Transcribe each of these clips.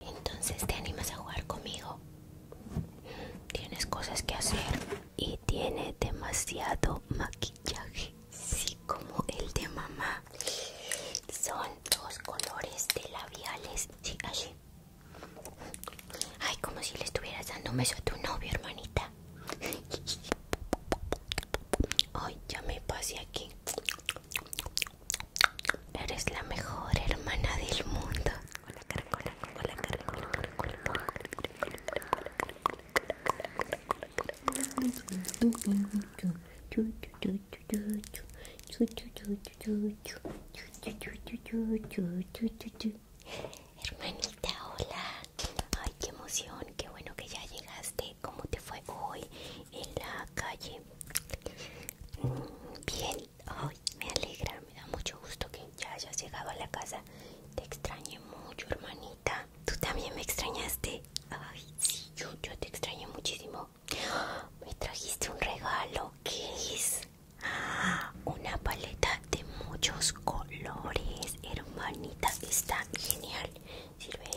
Entonces te animas a jugar conmigo. Tienes cosas que hacer y tiene demasiado maquillaje. Sí, como el de mamá. Son dos colores de labiales. Sí, así. Ay, como si le estuvieras dando un beso a tu novio, hermanita. Ay, ya me pasé aquí. Eres la mejor hermana del mundo. Hermanita, hola. Ay, qué emoción, qué bueno que ya llegaste. ¿Cómo te fue hoy en la calle? Bien, me alegra, me da mucho gusto que ya hayas llegado a la casa. Te extrañé mucho, hermanita. Tú también me extrañaste. Ay, sí, yo, te extrañé muchísimo. Me trajiste un regalo, ¿qué es? Ah, una paleta de muchos colores, hermanita. Está genial. Sirve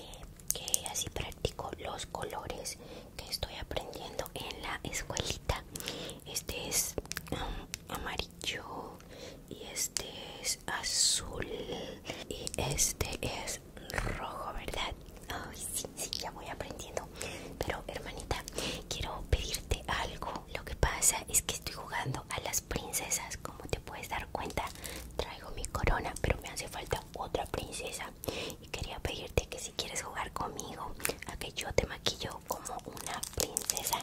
que así practico los colores que estoy aprendiendo en la escuelita. Este es amarillo y este es azul y este es rojo, ¿verdad? Ay, sí, sí, ya voy aprendiendo. Pero hermanita, quiero pedirte algo. Lo que pasa es que estoy jugando a las princesas, como te puedes dar cuenta. Traigo mi corona, pero me hace falta otra princesa y quería pedirte que quieres jugar conmigo a que yo te maquillo como una princesa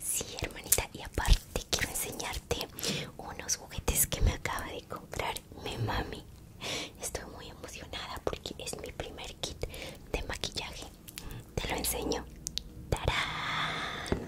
Sí hermanita y aparte quiero enseñarte unos juguetes que me acaba de comprar mi mami Estoy muy emocionada porque es mi primer kit de maquillaje Te lo enseño ¡Tarán!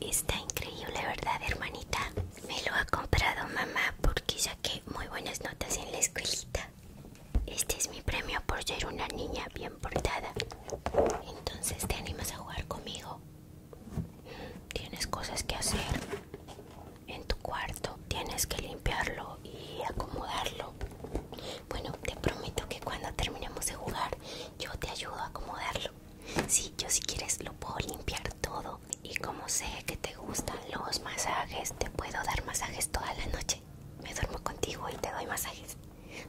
Está increíble, ¿verdad, hermanita? Me lo ha comprado mamá porque saqué muy buenas notas en la escuelita. Este es mi premio por ser una niña bien portada. Entonces, ¿te animas a jugar conmigo? Mm, tienes cosas que hacer en tu cuarto tienes que limpiarlo y acomodarlo bueno te prometo que cuando terminemos de jugar yo te ayudo a acomodarlo sí yo si quieres lo puedo limpiar todo y como sé que te gustan los masajes te puedo dar masajes toda la noche me duermo contigo y te doy masajes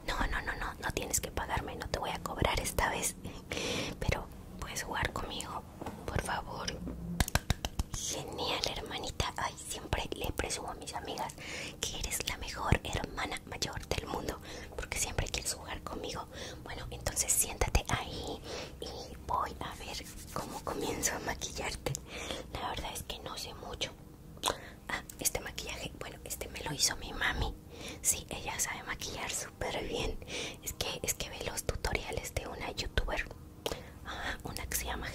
no no no no no tienes que pagarme no te voy a cobrar esta vez pero puedes jugar conmigo por favor. Genial, hermanita. Ay, siempre le presumo a mis amigas que eres la mejor hermana mayor del mundo, porque siempre quieres jugar conmigo. Bueno, entonces siéntate ahí y voy a ver cómo comienzo a maquillarte. La verdad es que no sé mucho. Ah, este maquillaje, bueno, este me lo hizo mi mami. Sí, ella sabe maquillar súper bien. Es que, es que ve los tutoriales de una youtuber ah, una que se llama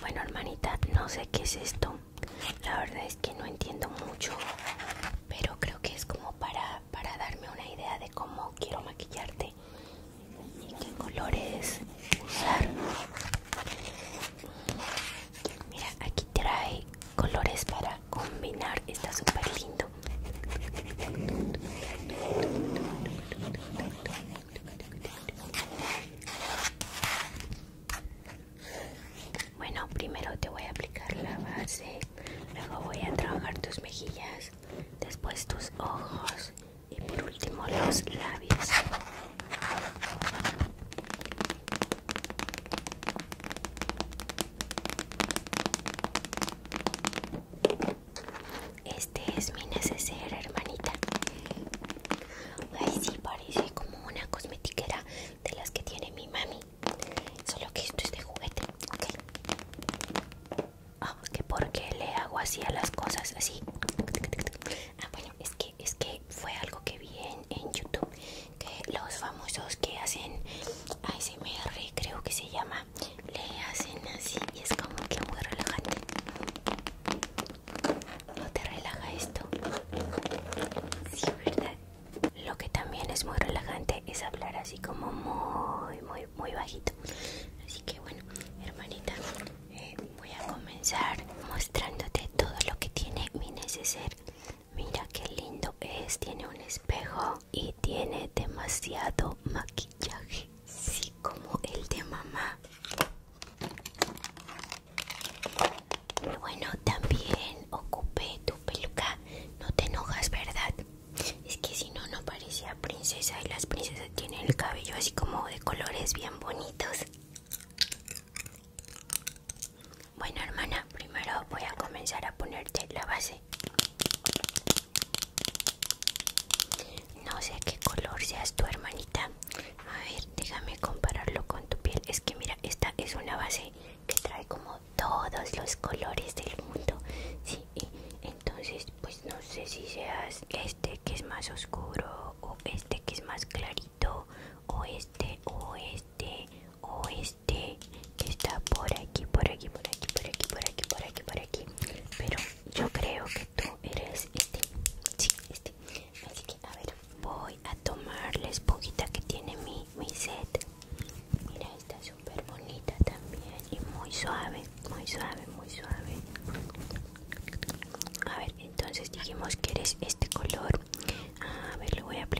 Bueno, hermanita, no sé qué es esto. La verdad es que no entiendo mucho, pero creo que es como para, para darme una idea de cómo quiero maquillarte y qué colores usar. Mira, aquí trae colores para combinar, está súper lindo. Bueno, primero te voy a aplicar la base, luego voy a trabajar tus mejillas, después tus ojos y por último los labios. Este es mi neceser, hermanita. Ay, sí, parece como una cosmetiquera de las que tiene mi mami. Solo que esto es de juguete, ¿ok? Ah, que porque le hago así a las cosas, así. Ah, bueno, es que, fue algo que vi en YouTube que los famosos que hacen ASMR creo que se llama le hacen así y es como que muy relajante no te relaja esto sí verdad lo que también es muy relajante es hablar así como muy muy muy bajito así que bueno hermanita eh, voy a comenzar mostrándote todo lo que tiene mi neceser Mira qué lindo es, tiene un espejo y tiene demasiado maquillaje, sí como el de mamá. Bueno, también ocupé tu peluca, no te enojas, ¿verdad? Es que si no, no parecía princesa y las princesas tienen el cabello así como de colores bien bonitos. Bueno, hermana, primero voy a comenzar a ponerte la base. No sé qué color seas tu hermanita. A ver, déjame compararlo con tu piel. Es que mira, esta es una base que trae como todos los colores del mundo. entonces pues no sé si seas este que es más oscuro o este que es más clarito. O o este, o este que está por aquí, por aquí, por aquí, por aquí, por aquí, por aquí, por aquí. Pero yo creo que tú eres este, sí, este. Así que, a ver, voy a tomar la esponjita que tiene mi, mi set. Mira, está súper bonita también y muy suave, muy suave, muy suave. A ver, entonces dijimos que eres este color. A ver, lo voy a a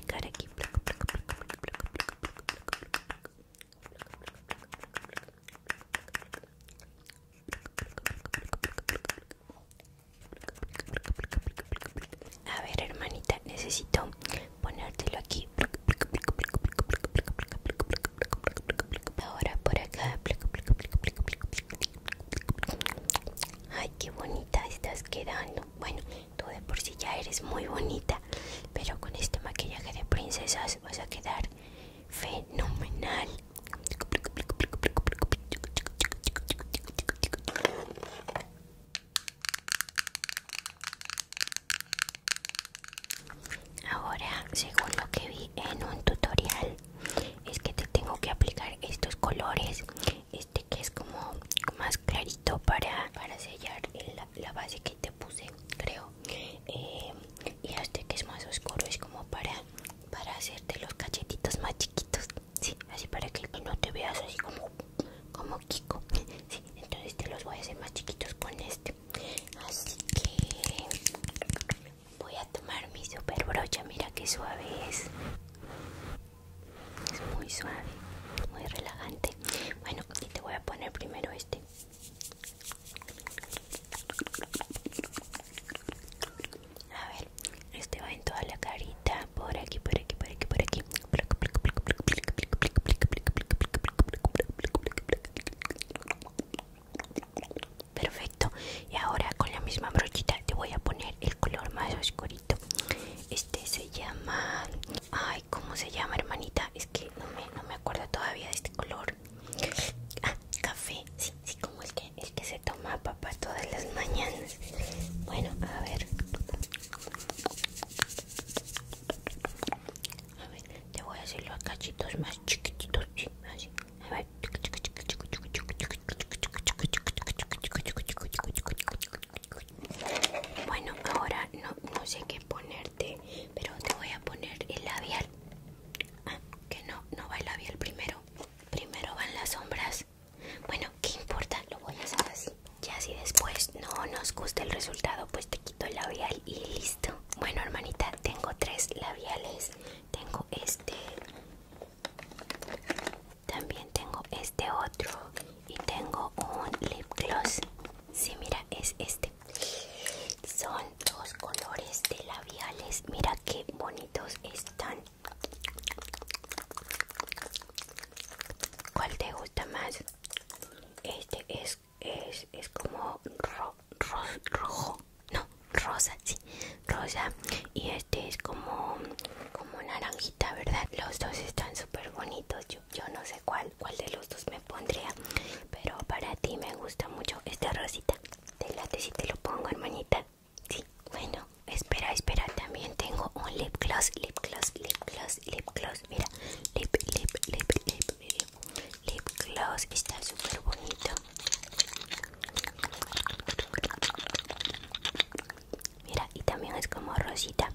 ver hermanita necesito ponértelo aquí ahora por acá ay qué bonita estás quedando bueno, tú de por sí ya eres muy bonita, pero con este maquillaje de princesas vas a quedar fenomenal. Ahora, según lo que vi en un tutorial, es que te tengo que aplicar estos colores este que es como más clarito para, para sellar la, base que te puse creo eh, y este que es más oscuro es como para para hacerte los cachetitos más chiquitos sí así para que no te veas así como como Kiko entonces te los voy a hacer más chiquitos con este así que voy a tomar mi super brocha mira qué suave es es muy suave muy relajante bueno y te voy a poner primero este a ver este va en toda la carita por aquí por aquí por aquí por aquí perfecto y ahora con la misma brochita te voy a poner el color más oscurito este se llama... Ay, ¿cómo se llama, hermanita? Es que no me, no me acuerdo todavía de este color. Ah, café. Sí, sí, como el que, que se toma papá todas las mañanas. Bueno, a ver. A ver, te voy a hacer los cachitos más chiquititos. ¿sí? Así. A ver. Bueno, ahora no, no sé qué ponerte, pero te voy a poner el labial. Ah, que no, no va el labial primero. Primero van las sombras. Bueno, ¿qué importa? Lo voy a hacer así. Ya así después no nos gusta el resultado, pues te quito el labial y listo. Bueno, hermanita, tengo tres labiales. Tengo este también tengo este otro y tengo un lip gloss. Sí, mira, es este. Son dos colores de labiales. Mira qué bonitos están. ¿Cuál te gusta más? Este es, es, es como rojo. No, rosa, sí rosa y este es como como naranjita verdad los dos están súper bonitos yo, no sé cuál cuál de los dos me pondría pero para ti me gusta mucho esta rosita te si te lo pongo hermanita sí bueno espera espera también tengo un lip gloss lip gloss lip gloss lip gloss mira lip lip lip lip lip, gloss está súper bonito Mira, y también es como rosita.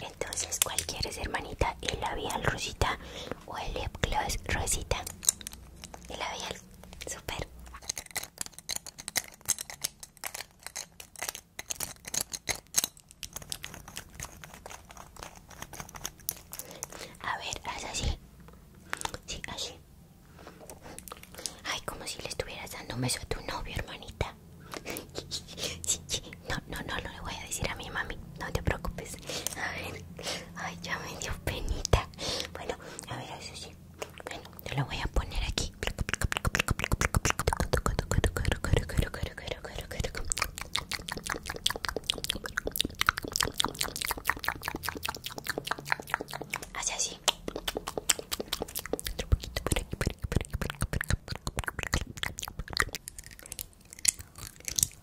Entonces, ¿cuál quieres, hermanita? ¿El labial rosita o el lip gloss rosita? El labial, super. A ver, así. Sí, así. Ay, como si le estuvieras dando un beso a tu novio, hermanita. No, no, no, no le voy a decir a mi mami. No te preocupes. A ver. Ay, ya me dio penita. Bueno, a ver, eso sí. Bueno, te lo voy a poner aquí hace así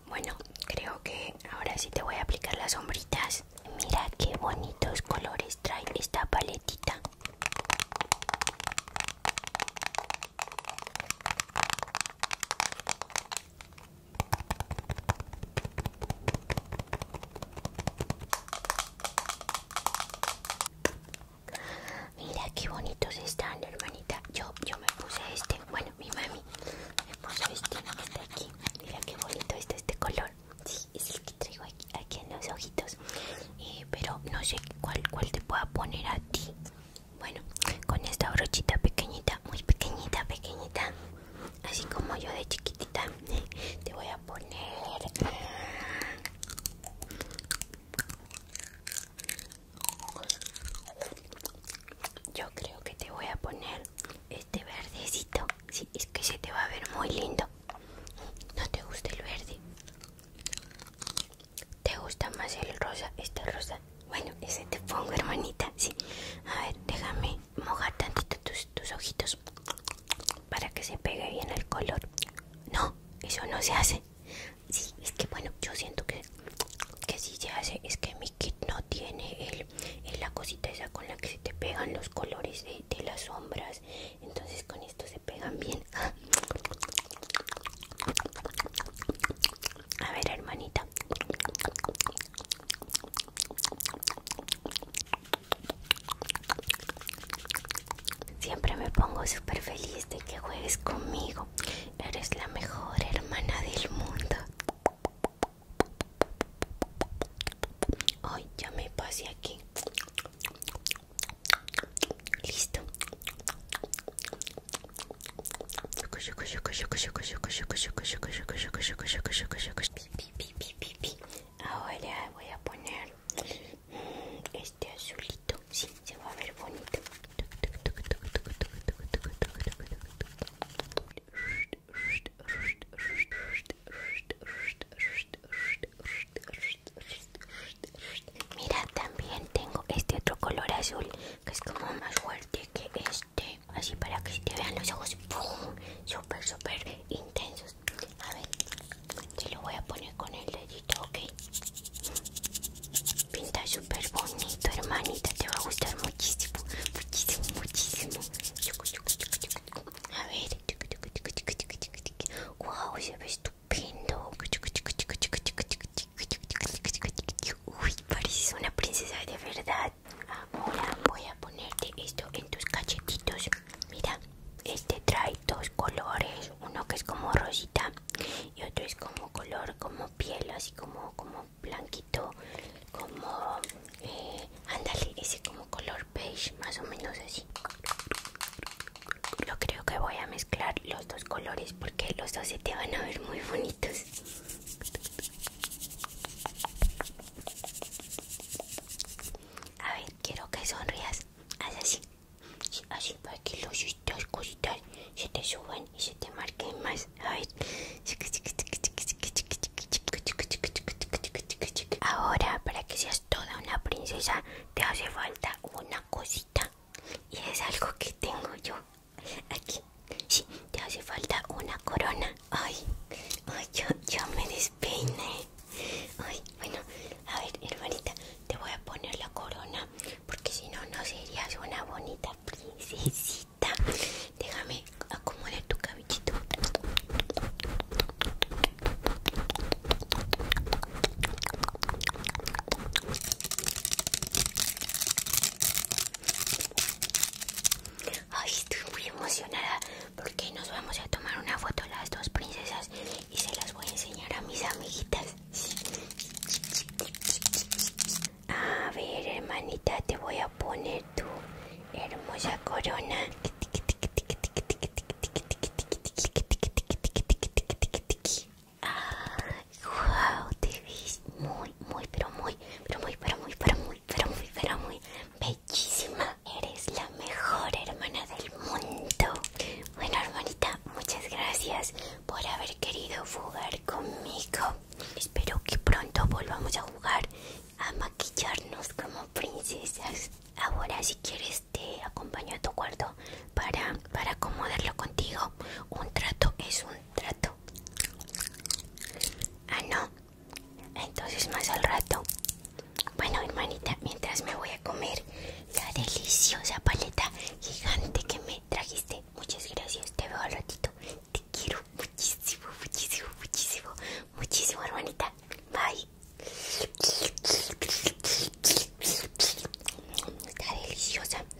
Bueno, creo que ahora sí te voy a aplicar las sombritas. Mira qué bonitos colores trae esta paletita. Mira qué bonitos están, hermanita. Yo, yo me puse este. Bueno, mi mami me puso este. aquí. Mira qué bonito está este color. Sí, es el que traigo aquí, aquí en los ojitos. Eh, pero no sé cuál, cuál te pueda poner a ti. Bueno, con esta brochita pequeñita, muy pequeñita, pequeñita así como yo de chiquitita te voy a poner eh, yo creo que te voy a poner este verdecito sí, es que se te va a ver muy lindo no te gusta el verde te gusta más el rosa este rosa bueno ese te pongo hermanita sí a ver déjame mojar tantito tus, tus ojitos para que se pegue bien el color. No, eso no se hace. Sí, es que bueno, yo siento que, que sí se hace. Es que mi kit no tiene la cosita esa con la que se te pegan los colores de, de las sombras. Entonces con esto se pegan bien. A ver, hermanita. Siempre me pongo súper feliz de que juegues conmigo. Eres la mejor hermana del mundo. Hoy ya me pasé aquí. Listo. Ahora voy a poner este azulito. Sí, se va a ver bonito. Mira, también tengo este otro color azul que es como más fuerte que este. Así para que te vean los ojos ¡Pum! Súper, súper intensos A ver, te lo voy a poner con el dedito, ¿ok? Pinta súper bonito, hermanita Te va a gustar muchísimo Muchísimo, muchísimo A ver Wow, se ve estupendo Uy, pareces una princesa de verdad Ahora voy a ponerte esto en tus cachetitos. Mira, este trae dos colores, uno que es como rosita y otro es como color como piel, así como como blanquito, como eh, ándale, ese como color beige, más o menos así. Yo creo que voy a mezclar los dos colores porque los dos se te van a ver muy bonitos. A ver, quiero que sonrías. Haz así. así para que los dos cositas se te suban y se te marquen más. A ver. Ahora, para que seas toda una princesa, te hace falta una cosita. Y es algo que tengo yo. Aquí. Sí, te hace falta una corona. Ay, yo, me despeiné. Ay, bueno, a ver, hermanita, te voy a poner la corona porque si no, no serías una bonita princesita. Déjame acomodar tu cabellito. Ay, estoy muy emocionada porque nos vamos a tomar una foto las dos princesas y se las voy a enseñar a mis amiguitas. A ver, hermanita, te voy a poner tu hermosa corona. wow, te ves muy muy, pero muy, pero muy, pero muy, pero muy, pero muy, pero muy bellísima. Eres la mejor hermana del mundo. Bueno, hermanita, muchas gracias por haber querido jugar conmigo. Espero que pronto volvamos a jugar a maquillarnos como princesas. Ahora, si quieres, te acompaño a tu cuarto para, para acomodarlo contigo. Un trato es un trato. Ah, no. Entonces más al rato. Bueno, hermanita, mientras me voy a comer la deliciosa paleta gigante que me trajiste. Muchas gracias. Te veo al ratito. Te quiero muchísimo, muchísimo, muchísimo. Muchísimo, hermanita. Bye. Está deliciosa.